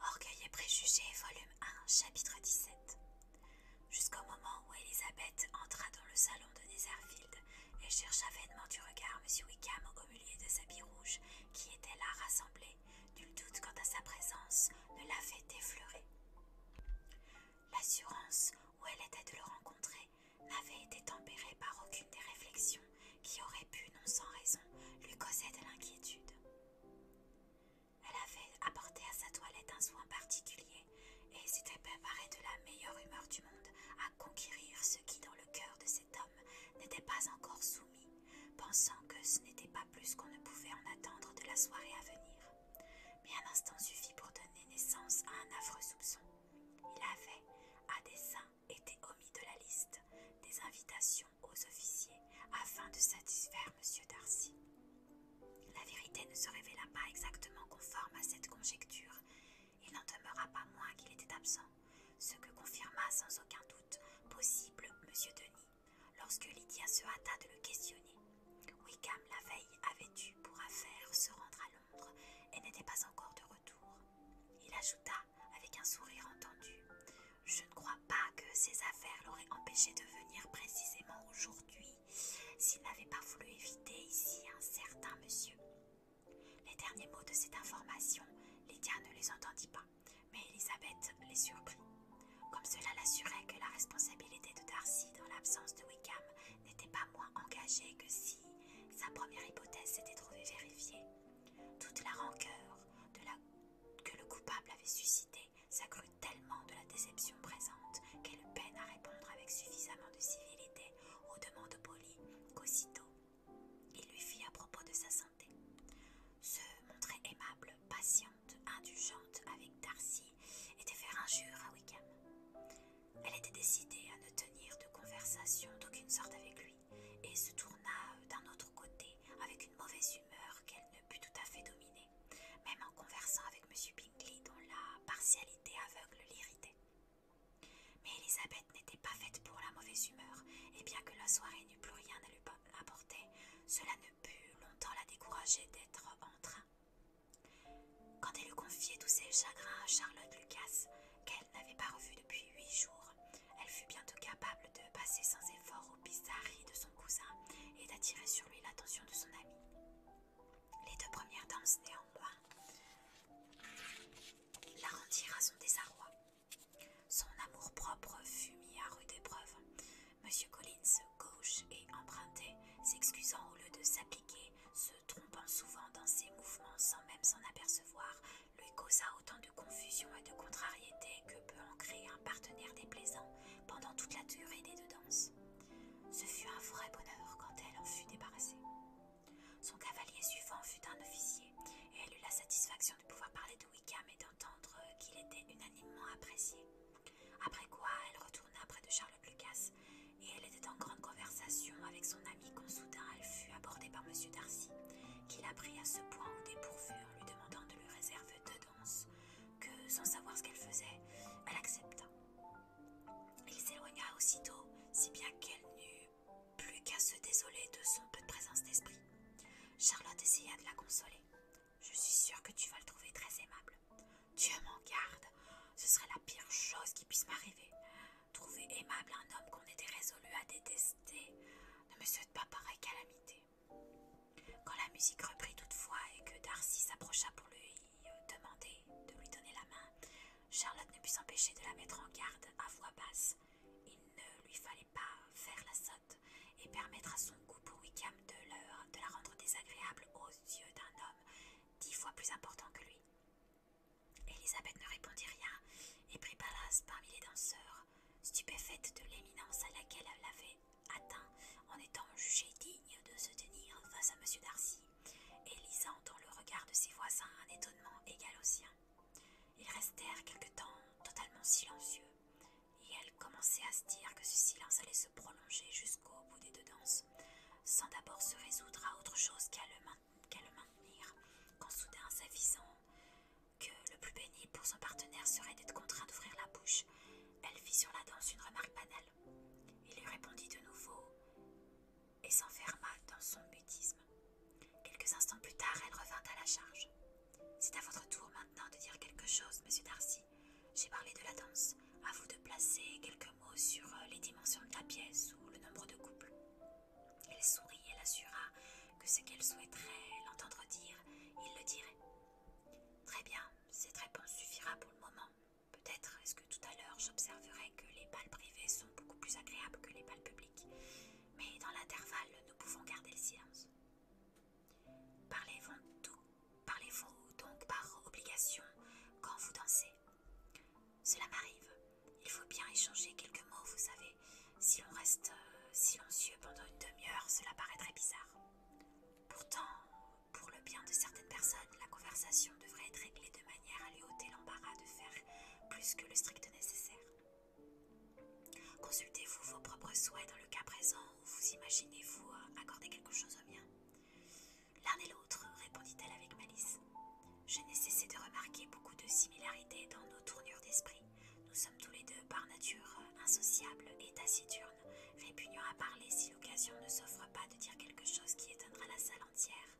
Orgueil et préjugés, volume 1, chapitre 17. Jusqu'au moment où Elisabeth entra dans le salon de Netherfield et chercha vainement du regard Monsieur Wickham au milieu de sa bille rouge qui était là rassemblée, nul doute quant à sa présence ne l'avait effleuré. L'assurance où elle était de le rencontrer n'avait été tempérée par aucune des réflexions qui auraient pu, non sans raison, lui causer de l'inquiétude. Elle avait apporté à sa toilette un soin particulier et s'était préparée de la meilleure humeur du monde à conquérir ce qui, dans le cœur de cet homme, n'était pas encore soumis, pensant que ce n'était pas plus qu'on ne pouvait en attendre de la soirée à venir. Mais un instant suffit pour donner naissance à un affreux soupçon. Il avait, à dessein, été omis de la liste des invitations aux officiers afin de satisfaire M. Darcy. La vérité ne se révéla pas exactement conforme à cette conjecture. Il n'en demeura pas moins qu'il était absent, ce que confirma sans aucun doute possible M. Denis, Lorsque Lydia se hâta de le questionner, Wickham la veille avait eu pour affaire se rendre à Londres et n'était pas encore de retour. Il ajouta avec un sourire entendu Je ne crois pas que ces affaires l'auraient empêché de venir précisément aujourd'hui s'il n'avait pas voulu éviter ici un certain monsieur. Les derniers mots de cette information, Lydia ne les entendit pas, mais Elisabeth les surprit. Comme cela l'assurait que la responsabilité de Darcy dans l'absence de Wickham n'était pas moins engagée que si sa première hypothèse s'était trouvée vérifiée, toute la rancœur que le coupable avait suscitée s'accrut tellement de la déception présente qu'elle peine à répondre avec suffisamment de civilité aux demandes polies qu'aussitôt il lui fit à propos de sa santé. Se montrer aimable, patient indulgente, avec Darcy était faire injure à Wickham. Elle était décidée à ne tenir de conversation d'aucune sorte avec lui, et se tourna euh, d'un autre côté avec une mauvaise humeur qu'elle ne put tout à fait dominer, même en conversant avec M. Bingley dont la partialité aveugle l'irritait. Mais Elisabeth n'était pas faite pour la mauvaise humeur, et bien que la soirée n'eût plus rien à lui apporter, cela ne pu longtemps la décourager d'être en train. Quand elle eut confié tous ses chagrins à Charlotte Lucas, qu'elle n'avait pas revue depuis huit jours, elle fut bientôt capable de passer sans effort aux bizarreries de son cousin et d'attirer sur lui l'attention de son ami. Les deux premières danses, néanmoins, la rendirent à son désarroi. Son amour-propre fut mis à rude épreuve. Monsieur Collins gauche et emprunté, s'excusant au lieu de s'appliquer, se trompant souvent dans ses mouvements sans même s'en apercevoir, lui causa autant de confusion et de contrariété que peut en créer un partenaire déplaisant pendant toute la durée des deux danses. Ce fut un vrai bonheur quand elle en fut débarrassée. Son cavalier suivant fut un officier, et elle eut la satisfaction de pouvoir parler de Wickham et d'entendre qu'il était unanimement apprécié. Après quoi, elle retourna près de Charles Lucas, et elle était en grande conversation avec son ami quand soudain elle fut abordée par M. Darcy, qui la prit à ce point au dépourvu en lui demandant de lui réserver deux danses, que, sans savoir ce qu'elle faisait, elle accepta. Il s'éloigna aussitôt, si bien qu'elle n'eut plus qu'à se désoler de son peu de présence d'esprit. Charlotte essaya de la consoler. Je suis sûre que tu vas le trouver très aimable. Dieu m'en garde, ce serait la pire chose qui puisse m'arriver. Trouver aimable un homme qu'on était résolu à détester ne me souhaite pas pareille calamité. Quand la musique reprit toutefois et que Darcy s'approcha pour lui demander de lui donner la main, Charlotte ne put s'empêcher de la mettre en garde à voix basse. Il ne lui fallait pas faire la sotte et permettre à son goût pour Wickham de, leur, de la rendre désagréable aux yeux d'un homme dix fois plus important que lui. Elisabeth ne répondit rien et prit place parmi les danseurs, stupéfaite de l'éminence à laquelle elle l'avait atteint en étant jugée digne de se tenir face à M. Darcy, et lisant dans le regard de ses voisins un étonnement égal au sien. Ils restèrent quelque temps totalement silencieux, et elle commençait à se dire que ce silence allait se prolonger jusqu'au bout des deux danses, sans d'abord se résoudre à autre chose qu'à le, maintenir, quand soudain s'avisant que le plus béni pour son partenaire serait d'être contraint d'ouvrir la bouche, elle fit sur la danse une remarque banale. Il lui répondit de nouveau et s'enferma dans son mutisme. Quelques instants plus tard, elle revint à la charge. C'est à votre tour maintenant de dire quelque chose, monsieur Darcy, j'ai parlé de la danse. À vous de placer quelques mots sur euh, les dimensions de la pièce ou le nombre de couples. Elle sourit et l'assura que ce qu'elle souhaiterait l'entendre dire, il le dirait. Très bien, cette réponse suffira pour le moment. Peut-être est-ce que tout à l'heure j'observerai que les balles privées sont beaucoup plus agréables que les balles publiques. Mais dans l'intervalle, nous pouvons garder le silence. Parlez-vous tout Parlez-vous donc par obligation quand vous dansez Cela m'arrive. Il faut bien échanger quelques mots, vous savez. Si on reste euh, silencieux pendant une demi-heure, cela paraîtrait bizarre. Pourtant, pour le bien de certaines personnes, la conversation devrait être réglée de manière à lui ôter l'embarras de faire plus que le strict nécessaire. Consultez-vous vos propres souhaits dans le cas présent vous imaginez-vous euh, accorder quelque chose au mien L'un et l'autre, répondit-elle avec malice. Je n'ai cessé de remarquer beaucoup de similarités dans nos tournures d'esprit. Nous sommes tous les deux par nature euh, insociables et taciturnes, répugnants à parler si l'occasion ne s'offre pas de dire quelque chose qui étonnera la salle entière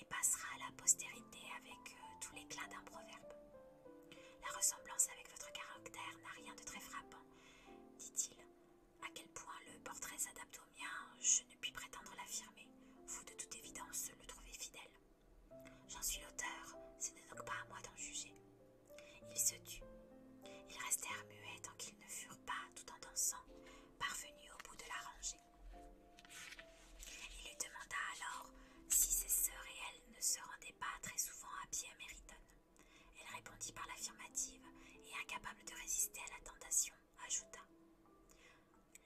et passera à la postérité avec tous euh, tout l'éclat d'un proverbe. La ressemblance avec votre caractère n'a rien de très frappant dit-il. À quel point le portrait s'adapte au mien, je ne puis prétendre l'affirmer. Vous, de toute évidence, le trouvez fidèle. J'en suis l'auteur, ce n'est donc pas à moi d'en juger. Il se tut. Ils restèrent muets tant qu'ils ne furent pas, tout en dansant, parvenus au bout de la rangée. Il lui demanda alors si ses sœurs et elle ne se rendaient pas très souvent à pied à Meryton. Elle répondit par l'affirmative et, incapable de résister à la tentation, ajouta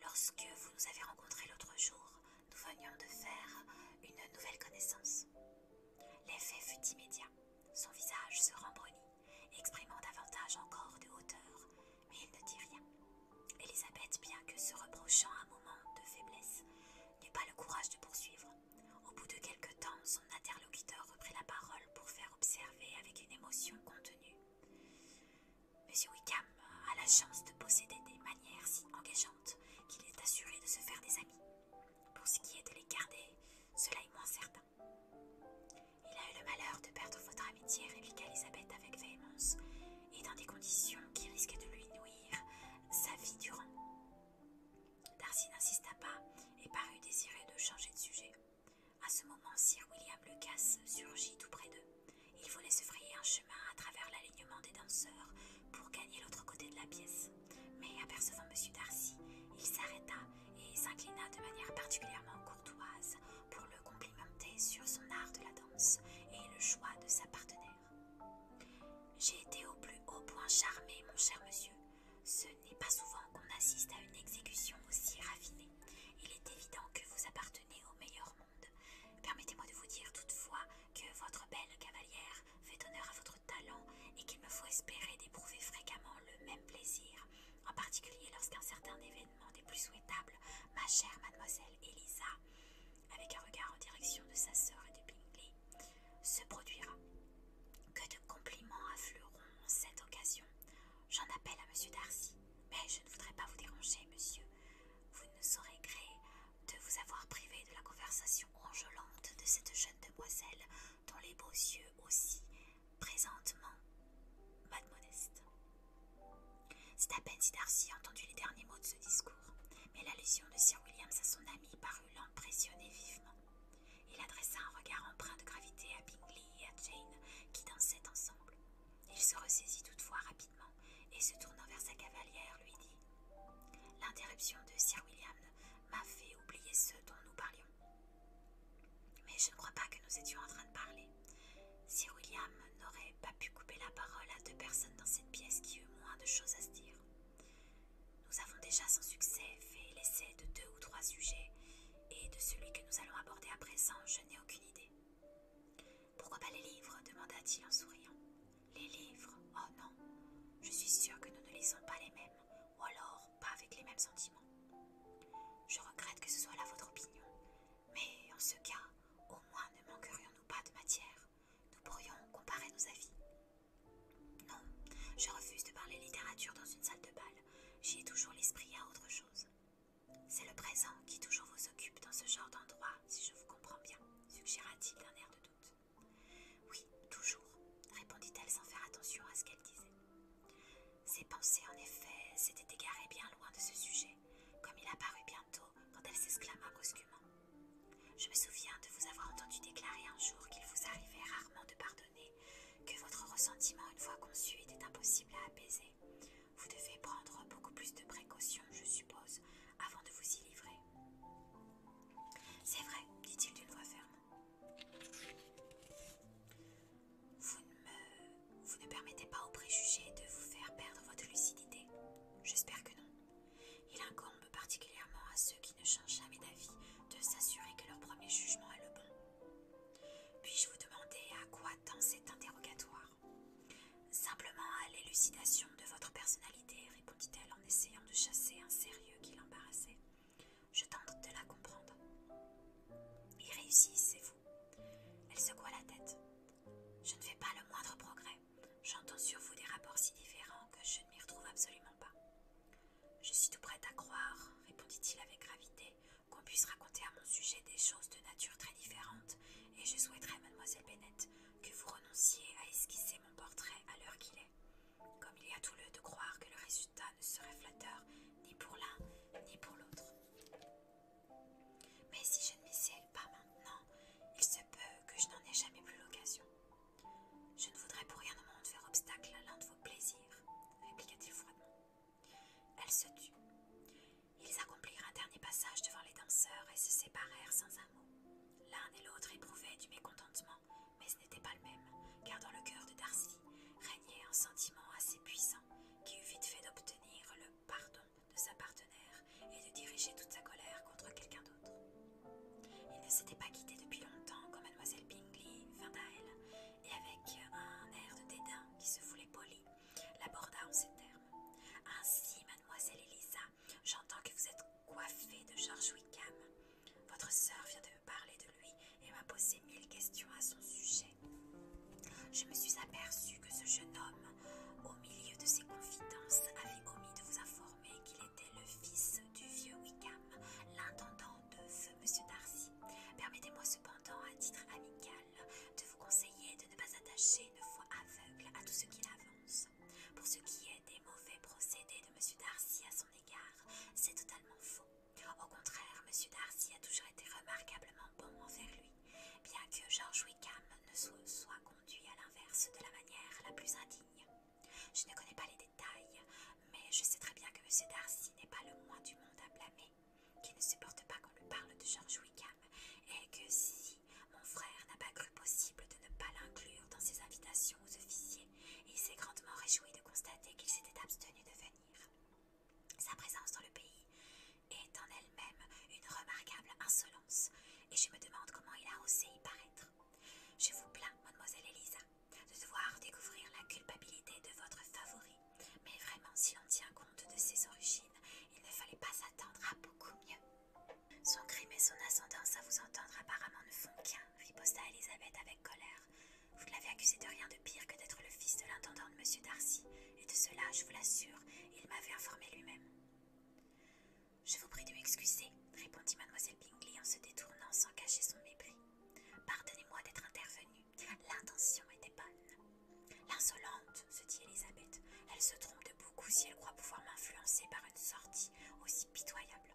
Lorsque vous nous avez rencontrés l'autre jour, nous venions de faire une nouvelle connaissance. L'effet fut immédiat. Son visage se rembrunit, exprimant davantage encore de hauteur, mais il ne dit rien. Élisabeth, bien que se reprochant un moment de faiblesse, n'eut pas le courage de poursuivre. Au bout de quelque temps, son interlocuteur reprit la parole pour faire observer avec une émotion contenue. Monsieur Wickham a la chance de posséder des manières si engageantes qu'il est assuré de se faire des amis. Pour ce qui est de les garder, cela est moins certain. Il a eu le malheur de perdre votre amitié, répliqua Elisabeth avec véhémence, et dans des conditions qui risquaient de lui nuire sa vie durant. Darcy n'insista pas et parut désirer de changer de sujet. À ce moment, Sir William Lucas surgit tout près d'eux. Il voulait se frayer un chemin à travers l'alignement des danseurs pour gagner l'autre côté de la pièce. Mais apercevant M. Darcy, il s'arrêta et s'inclina de manière particulièrement courtoise pour le complimenter sur son art de la danse et le choix de sa partenaire. J'ai été au plus haut point charmé, mon cher monsieur, ce n'est pas souvent qu'on assiste à une exécution aussi raffinée. Il est évident que vous appartenez au meilleur monde. Permettez-moi de vous dire toutefois que votre belle cavalière fait honneur à votre talent et qu'il me faut espérer d'éprouver fréquemment le même plaisir, en particulier lorsqu'un certain événement des plus souhaitables, ma chère mademoiselle Elisa, avec un regard en direction de sa sœur et de Bingley, se produira. Que de compliments afflueront en cette occasion. J'en appelle à monsieur Darcy, mais je ne voudrais pas vous déranger, monsieur. Vous ne saurez gré de vous avoir privé de la conversation enjolante de cette jeune demoiselle, dont les beaux yeux aussi, présentement, mademoiselle. C'est à peine si Darcy entendit les derniers mots de ce discours, mais l'allusion de Sir Williams à son ami parut l'impressionner vivement. Il adressa un regard empreint de gravité à Bingley et à Jane, qui dansaient ensemble. Il se ressaisit toutefois rapidement et, se tournant vers sa cavalière, lui dit L'interruption de Sir William m'a fait oublier ce dont nous parlions. Mais je ne crois pas que nous étions en train de parler. Sir William n'aurait pas pu couper la parole à deux personnes dans cette pièce qui eurent moins de choses à se dire. Nous avons déjà sans succès fait l'essai de deux ou trois sujets, et de celui que nous allons aborder à présent, je n'ai aucune idée. Pourquoi pas les livres demanda-t-il en souriant. Les livres Oh non, je suis sûre que nous ne lisons pas les mêmes, ou alors pas avec les mêmes sentiments. Je regrette que ce soit là votre opinion, mais en ce cas, au moins ne manquerions-nous pas de matière. Nous pourrions comparer nos avis, non, je refuse de parler littérature dans une salle de bal. J'y ai toujours l'esprit à autre chose. C'est le présent qui toujours vous occupe dans ce genre d'endroit, si je vous comprends bien, suggéra-t-il d'un air de doute. Oui, toujours, répondit-elle sans faire attention à ce qu'elle disait. Ses pensées, en effet, s'étaient égarées bien loin de ce sujet, comme il apparut bientôt quand elle s'exclama brusquement. Je me souviens de vous avoir entendu déclarer un jour qu'il vous arrivait rarement de pardonner, que votre ressentiment, une fois conçu, était impossible à apaiser. Vous devez prendre beaucoup plus de précautions, je suppose, avant de vous y livrer. C'est vrai, dit-il d'une voix ferme. Vous ne, vous permettez pas aux préjugés de vous faire perdre votre lucidité J'espère que non. Il incombe particulièrement à ceux qui ne changent jamais d'avis de s'assurer que leur premier jugement est le bon. Puis-je vous demander à quoi tend cet interrogatoire Simplement à l'élucidation de votre personnalité, répondit-elle en essayant de chasser un sérieux qui l'embarrassait. Je tente de la comprendre. réussit, c'est vous Elle secoua la tête. Je ne fais pas le moindre progrès. J'entends sur vous des rapports si différents que je ne m'y retrouve absolument pas. Je suis tout prête à croire, répondit-il avec gravité, qu'on puisse raconter à mon sujet des choses de nature très différente, et je souhaiterais, mademoiselle Bennett, que vous renonciez à esquisser mon portrait à l'heure qu'il est. Comme il y a tout le de croire que le résultat ne serait flatteur ni pour l'un ni pour l'autre. Mais si je ne m'y pas maintenant, il se peut que je n'en ai jamais plus l'occasion. Je ne voudrais pour rien au monde faire obstacle à l'un de vos plaisirs, répliqua-t-il froidement. Elle se tut. Ils accomplirent un dernier passage devant les danseurs et se séparèrent sans un mot. L'un et l'autre éprouvaient du mécontentement, mais ce n'était pas le même, car dans le cœur de Darcy régnait un sentiment assez puissant qui eut vite fait d'obtenir le pardon de sa partenaire et de diriger toute sa colère contre quelqu'un d'autre. Il ne s'était pas quitté depuis longtemps quand mademoiselle Bingley vint à elle, et avec un air de dédain qui se voulait poli, l'aborda en ces termes. Ainsi, mademoiselle Elisa, j'entends que vous êtes coiffée de George Wickham. Votre sœur vient de me parler de lui et m'a posé mille questions à son sujet. Je me suis aperçue que ce jeune homme, au milieu de ses confidences, avait omis de vous informer qu'il c'était le fils du vieux Wickham, l'intendant de feu M. Darcy. Permettez-moi cependant, à titre amical, de vous conseiller de ne pas attacher une foi aveugle à tout ce qu'il avance. Pour ce qui est des mauvais procédés de M. Darcy à son égard, c'est totalement faux. Au contraire, M. Darcy a toujours été remarquablement bon envers lui, bien que George Wickham ne soit conduit à l'inverse de la manière la plus indigne. Je ne connais pas les détails, mais je sais très bien que M. Darcy n'est pas le moins du monde à blâmer, qu'il ne supporte pas qu'on lui parle de George Wickham, et que si mon frère n'a pas cru possible de ne pas l'inclure dans ses invitations aux officiers, il s'est grandement réjoui de constater qu'il s'était abstenu de venir. Sa présence dans le pays est en elle-même une remarquable insolence, et je me demande comment il a osé y paraître. Je vous plains, mademoiselle Elisa, de devoir découvrir la culpabilité de votre favori. Mais vraiment, si l'on tient compte de ses origines, il ne fallait pas s'attendre à beaucoup mieux. Son crime et son ascendance à vous entendre apparemment ne font qu'un, riposta Elisabeth avec colère. Vous ne l'avez accusé de rien de pire que d'être le fils de l'intendant de M. Darcy, et de cela, je vous l'assure, il m'avait informé lui-même. Je vous prie de m'excuser, répondit mademoiselle Bingley en se détournant sans cacher son mépris. Pardonnez-moi d'être intervenue. L'intention était bonne. L'insolente, se dit Elisabeth, elle se trompe de beaucoup si elle croit pouvoir m'influencer par une sortie aussi pitoyable.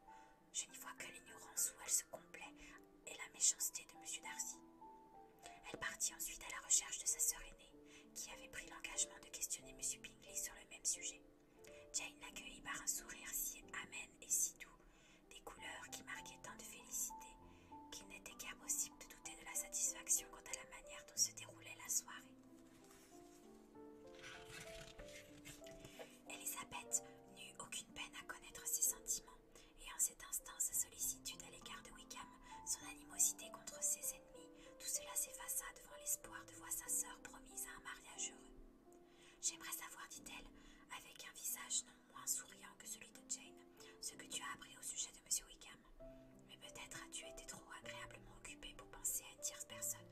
Je n'y vois que l'ignorance où elle se complaît et la méchanceté de M. Darcy. Elle partit ensuite à la recherche de sa sœur aînée, qui avait pris l'engagement de questionner M. Bingley sur le même sujet. Jane l'accueillit par un sourire si amène et si doux, des couleurs qui marquaient tant de félicité qu'il n'était guère possible de douter de la satisfaction quant à la manière dont se déroulait la soirée. Elisabeth n'eut aucune peine à connaître ses sentiments, et en cet instant sa sollicitude à l'égard de Wickham, son animosité contre ses ennemis, tout cela s'effaça devant l'espoir de voir sa sœur promise à un mariage heureux. J'aimerais savoir, dit-elle, avec un visage non moins souriant que celui de Jane, ce que tu as appris au sujet de M. Wickham. Mais peut-être as-tu été trop agréablement occupé pour penser à une personne.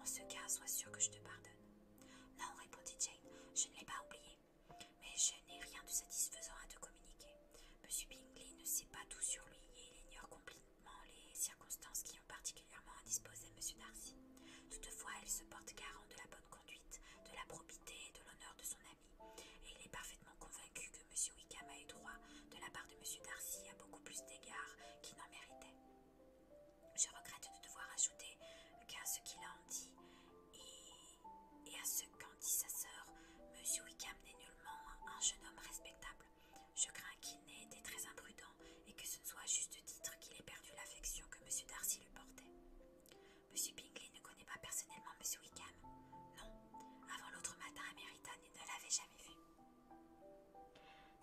En ce cas, sois sûre que je te pardonne. Non, répondit Jane, je ne l'ai pas oublié. Mais je n'ai rien de satisfaisant à te communiquer. M. Bingley ne sait pas tout sur lui et il ignore complètement les circonstances qui à particulièrement à monsieur Darcy. Toutefois, elle se porte garant de la bonne conduite, de la probité et de l'honneur de son ami, et il est parfaitement convaincu que M. Wickham a eu droit, de la part de monsieur Darcy, à beaucoup plus d'égards qu'il n'en méritait. Je regrette de devoir ajouter qu'à ce qu'il en dit et, à ce qu'en dit sa sœur, monsieur Wickham n'est nullement un jeune homme respectable. Je crains qu'il n'ait été très imprudent et que ce ne soit à juste titre qu'il ait perdu l'affection que M. Darcy lui portait. M. Bingley ne connaît pas personnellement M. Wickham Non, avant l'autre matin, à il ne l'avait jamais vu.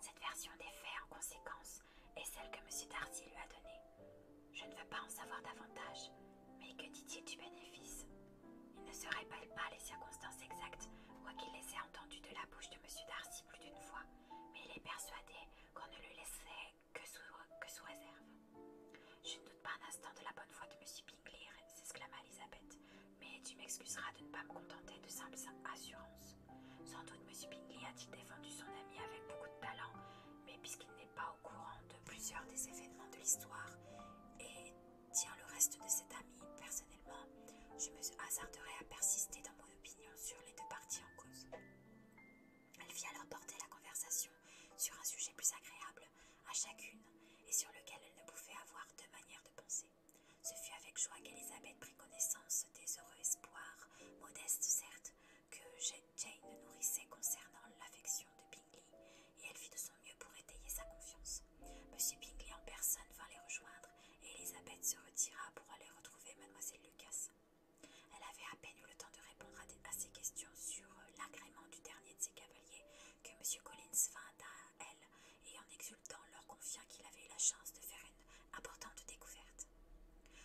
Cette version des faits, en conséquence, est celle que M. Darcy lui a donnée. Je ne veux pas en savoir davantage, mais que dit-il du bénéfice Il ne se répète pas les circonstances exactes, quoiqu'il les ait entendues de la bouche de M. Darcy plus d'une fois, mais il est persuadé qu'on ne le laissait que sous, réserve. Je ne doute pas un instant de la bonne foi de M. Bingley, s'exclama Elisabeth, mais tu m'excuseras de ne pas me contenter de simples assurances. Sans doute M. Bingley a-t-il défendu son ami avec beaucoup de talent, mais puisqu'il n'est pas au courant de plusieurs des événements de l'histoire et tient le reste de cet ami personnellement, je me hasarderai à persister dans mon opinion sur les deux parties en cause. Elle fit alors porter la conversation sur un sujet plus agréable à chacune et sur lequel elle ne pouvait avoir deux manières de penser. Ce fut avec joie qu'Elisabeth prit connaissance des heureux espoirs, modestes certes, que Jane nourrissait concernant l'affection de Bingley, et elle fit de son mieux pour étayer sa confiance. Monsieur Bingley en personne vint les rejoindre et Elisabeth se retira pour aller retrouver mademoiselle Lucas. Elle avait à peine eu le temps de répondre à, ses questions sur euh, l'agrément du dernier de ses cavaliers que M. Collins vint à elle et en exultant leur confia qu'il avait eu la chance de faire une importante découverte.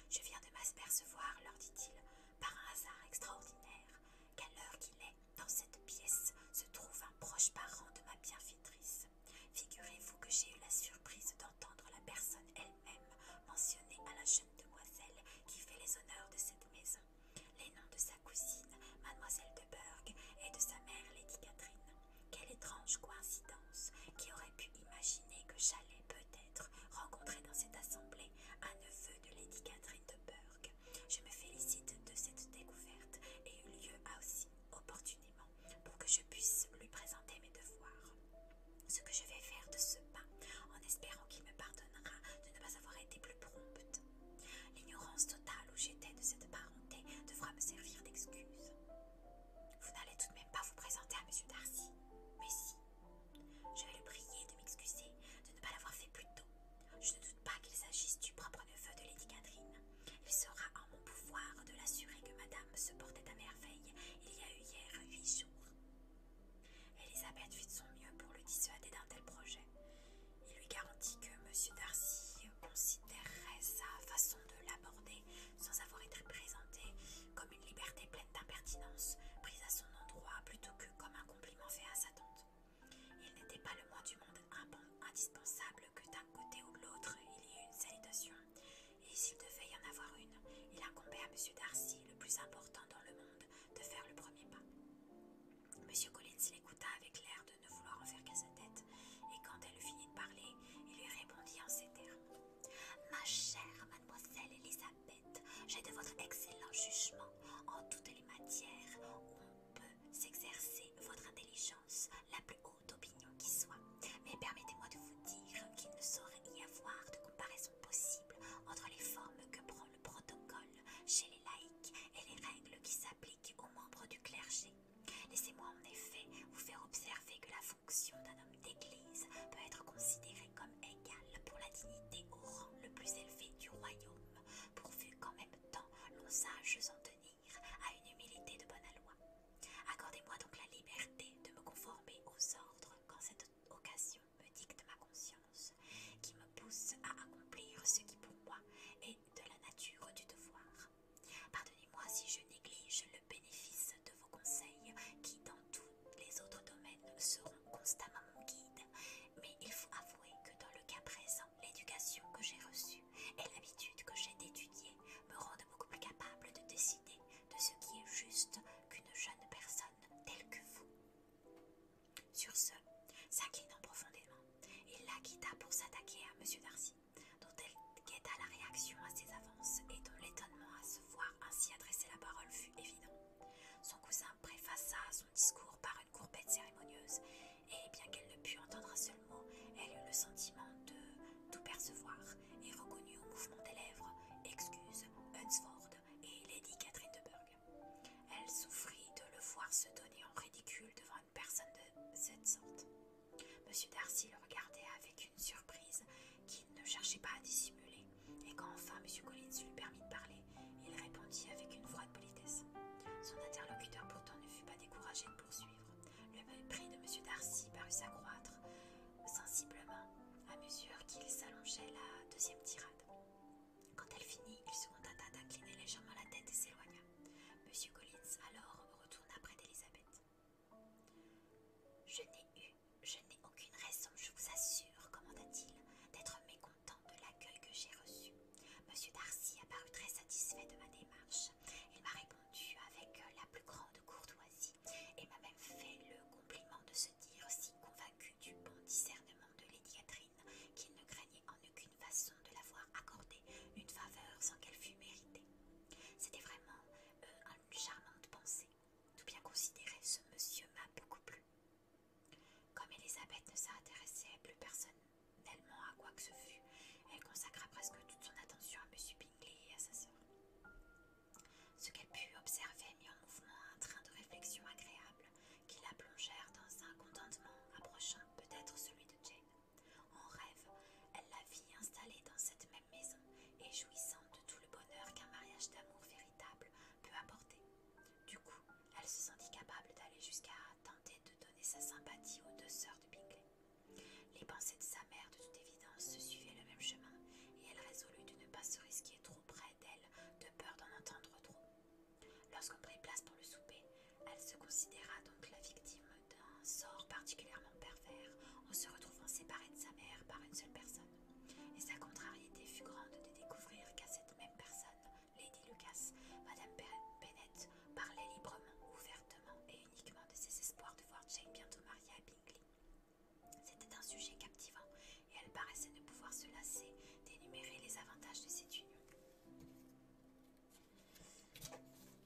Je viens de m'apercevoir, leur dit-il, par un hasard extraordinaire, qu'à l'heure qu'il est, dans cette pièce se trouve un proche parent de ma bienfaitrice. Figurez-vous que j'ai eu la surprise d'entendre la personne elle-même Mentionner à la jeune demoiselle qui fait les honneurs de cette maison, les noms de sa cousine, mademoiselle de Berg, et de sa mère, Lady Catherine. Quelle étrange coïncidence qui aurait pu imaginer que j'allais peut-être rencontrer dans cette assemblée un neveu de Lady Catherine de Berg. Je me félicite de cette découverte et eu lieu aussi opportunément pour que je puisse lui présenter mes devoirs. Ce que je vais faire de ce pas en espérant qu'il me pardonnera de ne pas avoir été plus prompte. L'ignorance totale où j'étais de cette parenté devra me servir d'excuse. Vous n'allez tout de même pas vous présenter à M. Darcy, mais si. Je vais le prier de m'excuser de ne pas l'avoir fait plus tôt. Je ne doute pas qu'il s'agisse du propre neveu de Lady Catherine. Il sera en mon pouvoir de l'assurer que Madame se portait à merveille il y a eu hier huit jours. Elisabeth fit de son mieux pour le dissuader d'un tel projet. Il lui garantit que M. Darcy considérerait sa façon de l'aborder, sans avoir été présenté, comme une liberté pleine d'impertinence, prise à son endroit plutôt que comme un compliment fait à sa tante. Il n'était pas le moins du monde indispensable que d'un côté ou de l'autre il y ait une salutation et s'il devait y en avoir une, il incombait à M. Darcy, le plus important dans le monde, de faire le premier pas. M. Collins l'écouta avec l'air de ne vouloir en faire qu'à sa tête, et quand elle eut fini de parler, il lui répondit en ces termes. Ma chère mademoiselle Elisabeth, j'ai de votre excellent jugement en toutes les matières où on peut s'exercer votre intelligence la plus d'opinion qui soit, mais permettez-moi de vous dire qu'il ne saurait y avoir de comparaison possible entre les formes que prend le protocole chez les laïcs et les règles qui s'appliquent aux membres du clergé. Laissez-moi en effet vous faire observer que la fonction d'un homme d'église peut être considérée comme égale pour la dignité au rang le plus élevé du royaume, pourvu qu'en même temps l'on sache s'en tenir à une humilité de bonne aloi. Accordez-moi donc la liberté de me conformer aux ordres quand cette occasion me dicte ma conscience, qui me pousse à accomplir ce qui pour moi est de la nature du devoir. Pardonnez-moi si je néglige le bénéfice de vos conseils qui dans tous les autres domaines seront constamment mon guide, mais il faut avouer que dans le cas présent, l'éducation que j'ai reçue et l'habitude que j'ai d'étudier me rendent beaucoup plus capable de décider de ce qui est juste qu'une jeune personne telle que vous. Sur ce, s'inclinant profondément, il la quitta pour s'attaquer à M. Darcy, dont elle guetta la réaction à ses avances et dont l'étonnement à se voir ainsi adresser la parole fut évident. Son cousin préfaça son discours par une courbette cérémonieuse, et bien qu'elle ne pût entendre un seul mot, elle eut le sentiment de tout percevoir et reconnut au mouvement des lèvres Excuse, Hunsford et Lady Catherine de Burgh. Elle souffrit de le voir se donner en ridicule devant une personne de cette sorte. Monsieur Darcy le regardait avec une surprise qu'il ne cherchait pas à dissimuler, et quand enfin Monsieur Collins lui permit de parler, il répondit avec une froide politesse. Son interlocuteur pourtant ne fut pas découragé de poursuivre. Le mépris de Monsieur Darcy parut s'accroître sensiblement à mesure qu'il s'allongeait la deuxième tirade. Quand elle finit, il se contenta d'incliner légèrement la tête et s'éloigna. Monsieur Collins alors retourna près d'Elisabeth. Je n'ai eu, je n'ai aucune raison, je vous assure, commanda-t-il, d'être mécontent de l'accueil que j'ai reçu. Monsieur Darcy a paru très satisfait de ma démarche. Il m'a répondu avec la plus grande courtoisie et m'a même fait le compliment de se dire si convaincu du bon discernement de Lady Catherine qu'il ne craignait en aucune façon de l'avoir accordé une faveur sans qu'elle fût méritée. C'était vraiment euh, une charmante pensée. Tout bien considéré, ce monsieur m'a beaucoup plu. Comme Elisabeth ne s'intéressait plus personne tellement à quoi que ce fût, elle consacra presque toute son attention à M. Ce qu'elle put observer mit en mouvement un train de réflexion agréable qui la plongèrent dans un contentement approchant peut-être celui de Jane. En rêve, elle la vit installée dans cette même maison et jouissant de tout le bonheur qu'un mariage d'amour véritable peut apporter. Du coup, elle se sentit capable d'aller jusqu'à tenter de donner sa sympathie aux deux sœurs de Bingley. Les pensées de sa mère, de toute évidence, se suivaient le même chemin, et elle résolut de ne pas se risquer trop près d'elle, de peur d'en entendre trop. Lorsqu'on prit place pour le souper, elle se considéra donc la victime d'un sort particulièrement pervers, en se retrouvant séparée de sa mère par une seule personne. Et sa contrariété fut grande de découvrir qu'à cette même personne, Lady Lucas, Madame Bennett parlait librement, ouvertement et uniquement de ses espoirs de voir Jane bientôt mariée à c'était un sujet captivant et elle paraissait ne pouvoir se lasser d'énumérer les avantages de cette union.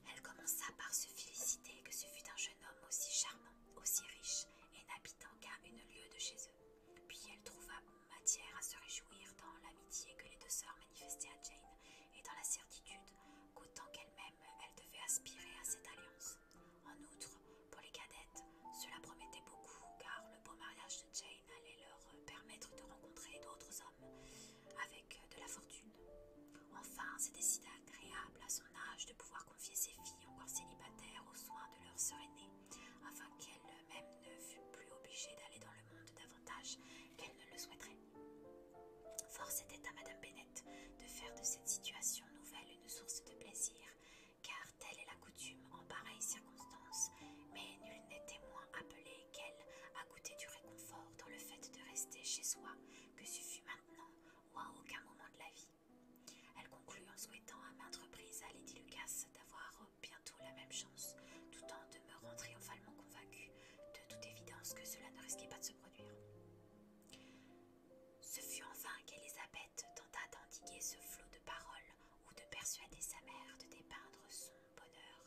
Elle commença par se féliciter que ce fût un jeune homme aussi charmant, aussi riche et n'habitant qu'à une lieue de chez eux. Puis elle trouva matière à se réjouir dans l'amitié que les deux sœurs manifestaient à Jane et dans la certitude Autant qu'elle-même elle devait aspirer à cette alliance. En outre, pour les cadettes, cela promettait beaucoup car le beau mariage de Jane allait leur permettre de rencontrer d'autres hommes avec de la fortune. Enfin, c'était si agréable à son âge de pouvoir confier ses filles encore célibataires aux soins de leur sœur aînée, afin qu'elle-même ne fût plus obligée d'aller dans le monde davantage qu'elle ne le souhaiterait. Force était à Madame Bennett de faire de cette situation nouvelle une source de plaisir, car telle est la coutume en pareille circonstances. mais nul n'était moins appelé qu'elle à goûter du réconfort dans le fait de rester chez soi, que ce fut maintenant ou à aucun moment de la vie. Elle conclut en souhaitant à maintes reprises à Lady Lucas d'avoir bientôt la même chance, tout en demeurant triomphalement convaincue de toute évidence que cela ne risquait pas de se produire. Ce fut en vain tenta d'endiguer ce flot de paroles ou de persuader sa mère de dépeindre son bonheur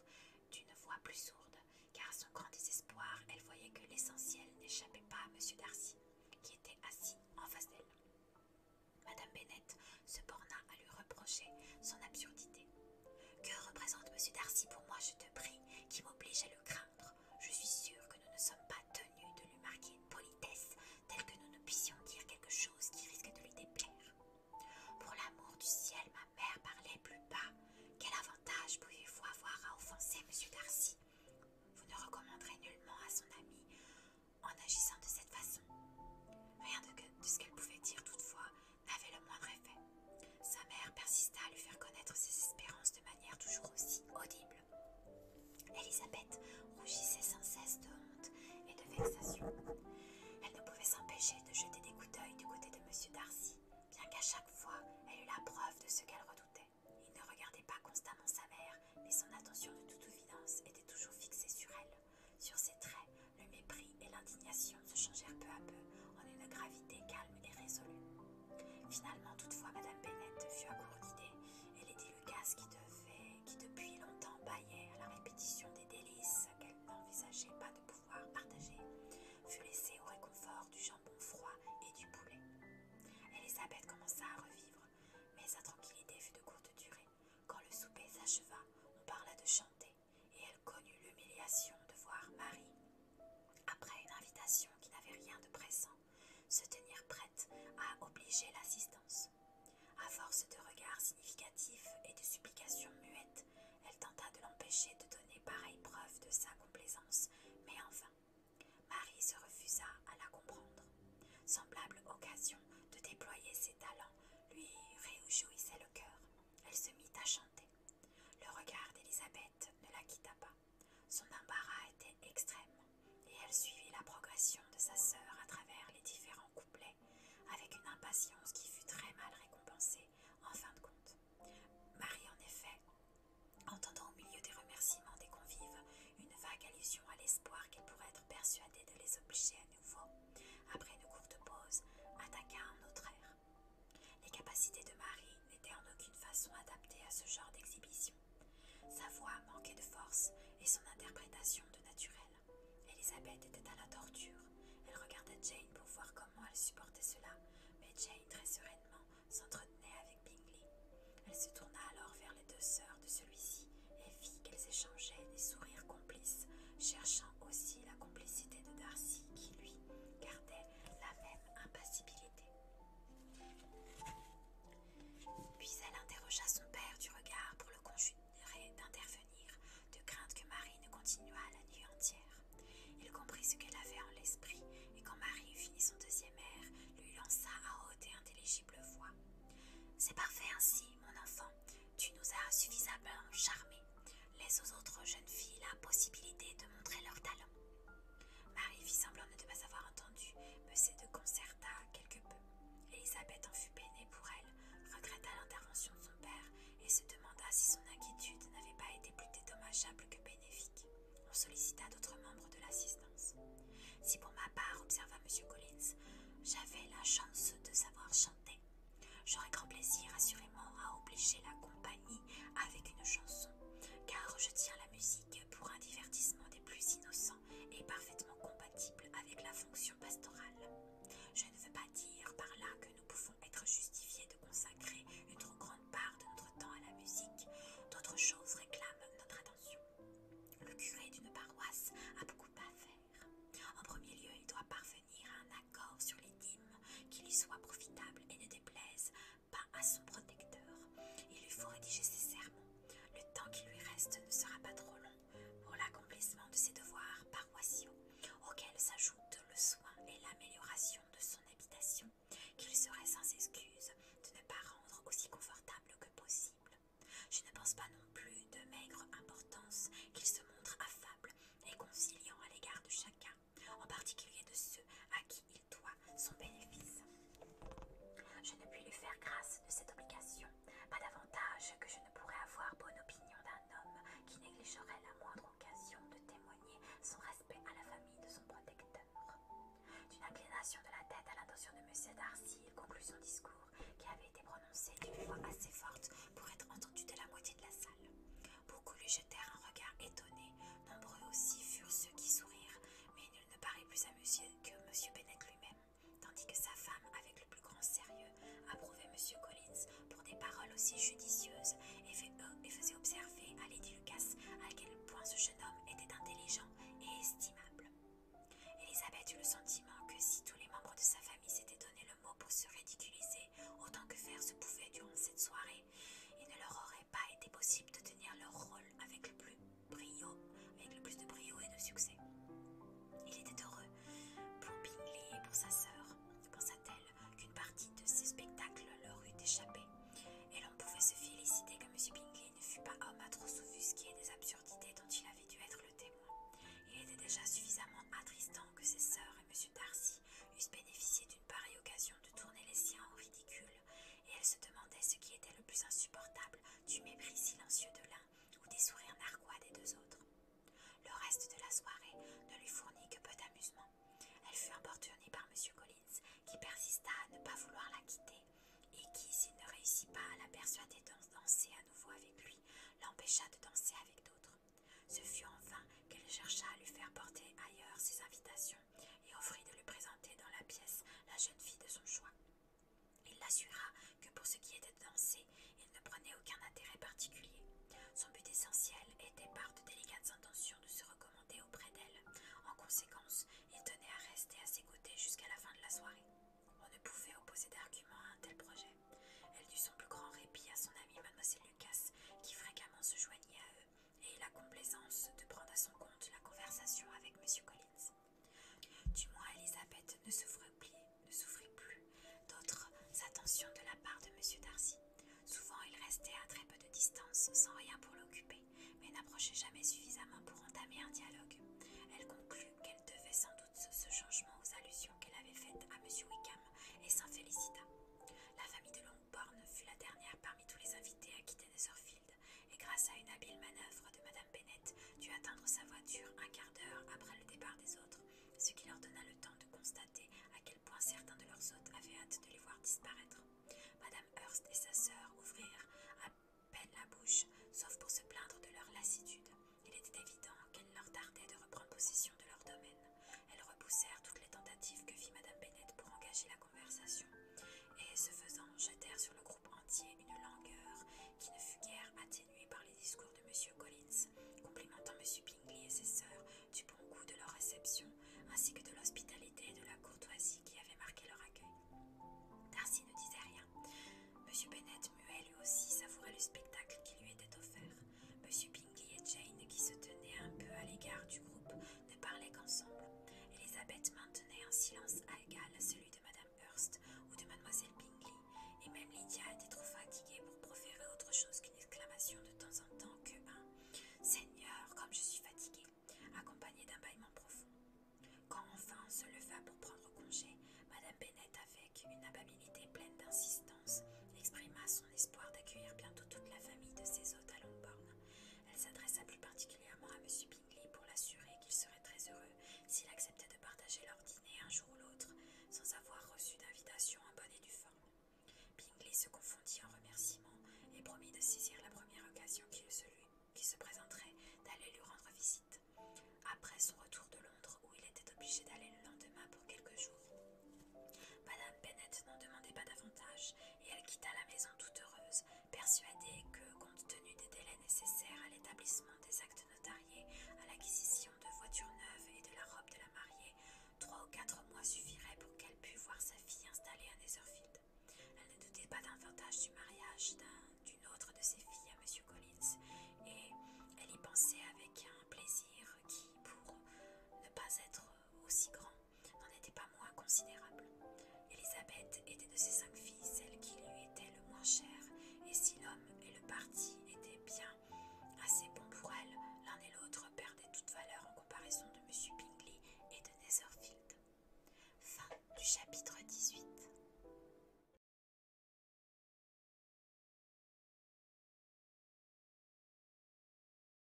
d'une voix plus sourde, car à son grand désespoir, elle voyait que l'essentiel n'échappait pas à M. Darcy, qui était assis en face d'elle. Madame Bennett se borna à lui reprocher son absurdité. Que représente M. Darcy pour moi, je te prie, qui m'oblige à le craindre je suis sûre que nous ne sommes pas tenus de lui marquer une politesse telle que nous ne puissions dire quelque chose qui risque de lui déplaire. Pour l'amour du ciel, ma mère parlait plus bas. Quel avantage pouviez-vous avoir à offenser M. Darcy Vous ne recommanderez nullement à son ami en agissant de cette façon. Rien de ce qu'elle pouvait dire, toutefois, n'avait le moindre effet. Sa mère persista à lui faire connaître ses espérances de manière toujours aussi audible. Elisabeth rougissait sans cesse de honte et de vexation. Elle ne pouvait s'empêcher de jeter des coups d'œil du côté de M. Darcy, bien qu'à chaque fois elle eût la preuve de ce qu'elle redoutait. Il ne regardait pas constamment sa mère, mais son attention de toute évidence était toujours fixée sur elle. Sur ses traits, le mépris et l'indignation se changèrent peu à peu en une gravité calme et résolue. Finalement, toutefois, Madame Bennett fut à court d'idées et Lady Lucas, qui, devait, qui depuis longtemps baillait à la répétition des délices qu'elle n'envisageait pas de pouvoir partager, fut laissée au réconfort du jambon froid et du poulet. Elisabeth commença à revivre, mais sa tranquillité fut de courte durée. Quand le souper s'acheva, on parla de chanter, et elle connut l'humiliation de voir Marie après une invitation qui n'avait rien de pressant, se tenir prête à obliger l'assistance. À force de regards significatifs et de supplications muettes, elle tenta de l'empêcher de donner pareille preuve de sa complaisance, mais enfin, Marie se refusa à la comprendre. Semblable occasion de déployer ses talents lui réjouissait le cœur. Elle se mit à chanter. Le regard d'Elisabeth ne la quitta pas. Son embarras était extrême, et elle suivit la progression de sa sœur à travers les différents couplets, avec une impatience qui fut très mal récompensée en fin de compte. Marie, en effet, entendant au milieu des remerciements des convives une vague allusion à l'espoir qu'elle pourrait être persuadée de les obliger à nouveau, après une courte pause, attaqua un autre air. Les capacités de Marie n'étaient en aucune façon adaptées à ce genre d'exhibition. Sa voix manquait de force et son interprétation de naturel. Elisabeth était à la torture. Elle regardait Jane pour voir comment elle supportait cela, mais Jane, très sereinement, s'entretenait avec Bingley. Elle se tourna alors vers les deux sœurs de celui-ci et vit qu'elles échangeaient des sourires complices, cherchant aussi la complicité de Darcy qui, lui, gardait la même impassibilité. Puis elle interrogea son père du regard pour le conjurer d'intervenir, de crainte que Marie ne continuât la nuit entière. Il comprit ce qu'elle avait en l'esprit, et quand Marie eut fini son deuxième air, lui lança à haute et intelligible voix. C'est parfait ainsi, mon enfant, tu nous as suffisamment charmés. Laisse aux autres jeunes filles la possibilité de montrer leurs talents. Marie fit semblant de ne pas avoir entendu, mais se déconcerta quelque peu. Elisabeth en fut peinée pour elle, regretta l'intervention de son père et se demanda si son inquiétude n'avait pas été plus dédommageable que bénéfique. On sollicita d'autres membres de l'assistance. Si pour ma part, observa M. Collins, j'avais la chance de savoir chanter, j'aurais grand plaisir assurément à obliger la compagnie avec une chanson, car je tiens la musique pour un divertissement des plus innocents et parfaitement compatible avec la fonction pastorale. Je ne veux pas dire par là que nous pouvons être justifiés de consacrer une trop grande part de notre temps à la musique. D'autres choses réclament notre attention. Le curé d'une paroisse a beaucoup à faire. En premier lieu, il doit parvenir à un accord sur les dîmes qui lui soit profitable et ne déplaise pas à son protecteur. Il lui faut rédiger ses sermons. Le temps qui lui reste ne sera pas trop long pour l'accomplissement de ses devoirs paroissiaux, auxquels s'ajoute le soin et l'amélioration de son habitation, qu'il serait sans excuse de ne pas rendre aussi confortable que possible. Je ne pense pas non plus de maigre importance qu'il se montre affable et conciliant à l'égard de chacun, en particulier de ceux à qui il son bénéfice. Je ne puis lui faire grâce de cette obligation, pas davantage que je ne pourrais avoir bonne opinion d'un homme qui négligerait la moindre occasion de témoigner son respect à la famille de son protecteur. D'une inclination de la tête à l'intention de Monsieur Darcy, il conclut son discours qui avait été prononcé d'une voix assez forte pour être entendu de la moitié de la salle. Beaucoup lui jetèrent un regard étonné, nombreux aussi furent ceux qui sourirent, mais il ne parut plus amusé que M. Bennett lui-même, tandis que sa femme, avec le plus grand sérieux, approuvait M. Collins pour des paroles aussi judicieuses et, euh, et faisait observer à Lady Lucas à quel point ce jeune homme était intelligent et estimable. Elisabeth eut le sentiment que si tous les membres de sa famille s'étaient donné le mot pour se ridiculiser autant que faire se pouvait durant cette soirée, il ne leur aurait pas été possible de tenir leur rôle avec le plus, brio, de brio et de succès. Il était heureux pour Bingley et pour sa sœur, pensa-t-elle, qu'une partie de ces spectacles leur eût échappé, et l'on pouvait se féliciter que M. Bingley ne fût pas homme à trop s'offusquer des absurdités dont il avait dû être le témoin. Il était déjà suffisamment attristant que ses sœurs et M. Darcy eussent bénéficié d'une pareille occasion de tourner les siens au ridicule, et elle se demandait ce qui était le plus insupportable du mépris silencieux de l'un ou des sourires narquois des deux autres. Le reste de la soirée ne lui fournit que peu d'amusement. Elle fut importunée par M. Collins, qui persista à ne pas vouloir la quitter, et qui, s'il ne réussit pas à la persuader de danser à nouveau avec lui, l'empêcha de danser avec d'autres. Ce fut enfin qu'elle chercha à lui faire porter ailleurs ses invitations et offrit de lui présenter dans la pièce la jeune fille de son choix. Il l'assura que pour ce qui était de danser, il ne prenait aucun intérêt particulier. Son but essentiel était par de délicates intentions de se recommander auprès d'elle. En conséquence, il tenait à rester à ses côtés jusqu'à la fin de la soirée. On ne pouvait opposer d'argument à un tel projet. Elle dut son plus grand répit à son amie mademoiselle Lucas, qui fréquemment se joignait à eux et la complaisance de prendre à son compte la conversation avec M. Collins. Du moins, Elisabeth ne souffrait plus, d'autres attentions de la part de M. Darcy. Souvent, il restait à très peu de distance, sans rien pour l'occuper, mais n'approchait jamais suffisamment pour entamer un dialogue. Elle conclut qu'elle devait sans doute ce changement aux allusions qu'elle avait faites à M. Wickham et s'en félicita. La famille de Borne fut la dernière parmi tous les invités à quitter Netherfield, et grâce à une habile manœuvre de Madame Bennett, dut atteindre sa voiture un quart d'heure après le départ des autres, ce qui leur donna le temps de constater à quel point certains de leurs hôtes avaient hâte de les voir disparaître. Madame Hurst et sa sœur ouvrirent à peine la bouche, sauf pour se plaindre de leur lassitude. Il était évident qu'elles leur tardaient de reprendre possession de leur domaine. Elles repoussèrent toutes les tentatives que fit Madame Bennett pour engager la conversation, et ce faisant jetèrent sur le groupe entier une langueur qui ne fut guère atténuée par les discours de M. Collins, complimentant M. Bingley et ses sœurs du bon goût de leur réception, ainsi que de l'hospitalité et de la courtoisie qui avaient marqué leur accueil. Darcy ne disait rien. Monsieur Bennet, muet lui aussi, savourait le spectacle qui lui était offert. M. Bingley et Jane, qui se tenaient un peu à l'égard du groupe, ne parlaient qu'ensemble. Elisabeth maintenait un silence égal à celui de Madame Hurst ou de Mademoiselle Bingley, et même Lydia était trop fatiguée pour proférer autre chose qu'une exclamation de temps en temps que un Seigneur, comme je suis fatiguée, accompagnée d'un bâillement profond. Quand enfin on se leva pour prendre congé, Madame Bennett, avec une amabilité pleine d'insistance, exprima son espoir d'accueillir bientôt toute la famille de ses hôtes à Longbourn. Elle s'adressa plus particulièrement à M. Bingley pour l'assurer qu'il serait très heureux s'il acceptait de partager leur dîner un jour ou l'autre, sans avoir reçu d'invitation en bonne et due forme. Bingley se confondit en remerciements et promit de saisir la première occasion qui se, qui se présenterait d'aller lui rendre visite, après son retour de Londres où il était obligé d'aller le lendemain pour quelques jours. Madame Bennett n'en demandait pas davantage, et elle quitta la maison toute heureuse, persuadée que, compte tenu des délais nécessaires à l'établissement des actes notariés, à l'acquisition de voitures neuves et de la robe de la mariée, trois ou quatre mois suffiraient pour qu'elle pût voir sa fille installée à Netherfield. Elle ne doutait pas davantage du mariage d'une autre de ses filles à Monsieur Collins, et elle y pensait avec un plaisir qui, pour ne pas être aussi grand n'en était pas moins considérable. Élisabeth était de ses cinq filles celle qui lui était le moins chère, et si l'homme et le parti étaient bien assez bons pour elle, l'un et l'autre perdaient toute valeur en comparaison de M. Bingley et de Netherfield. Fin du chapitre 18.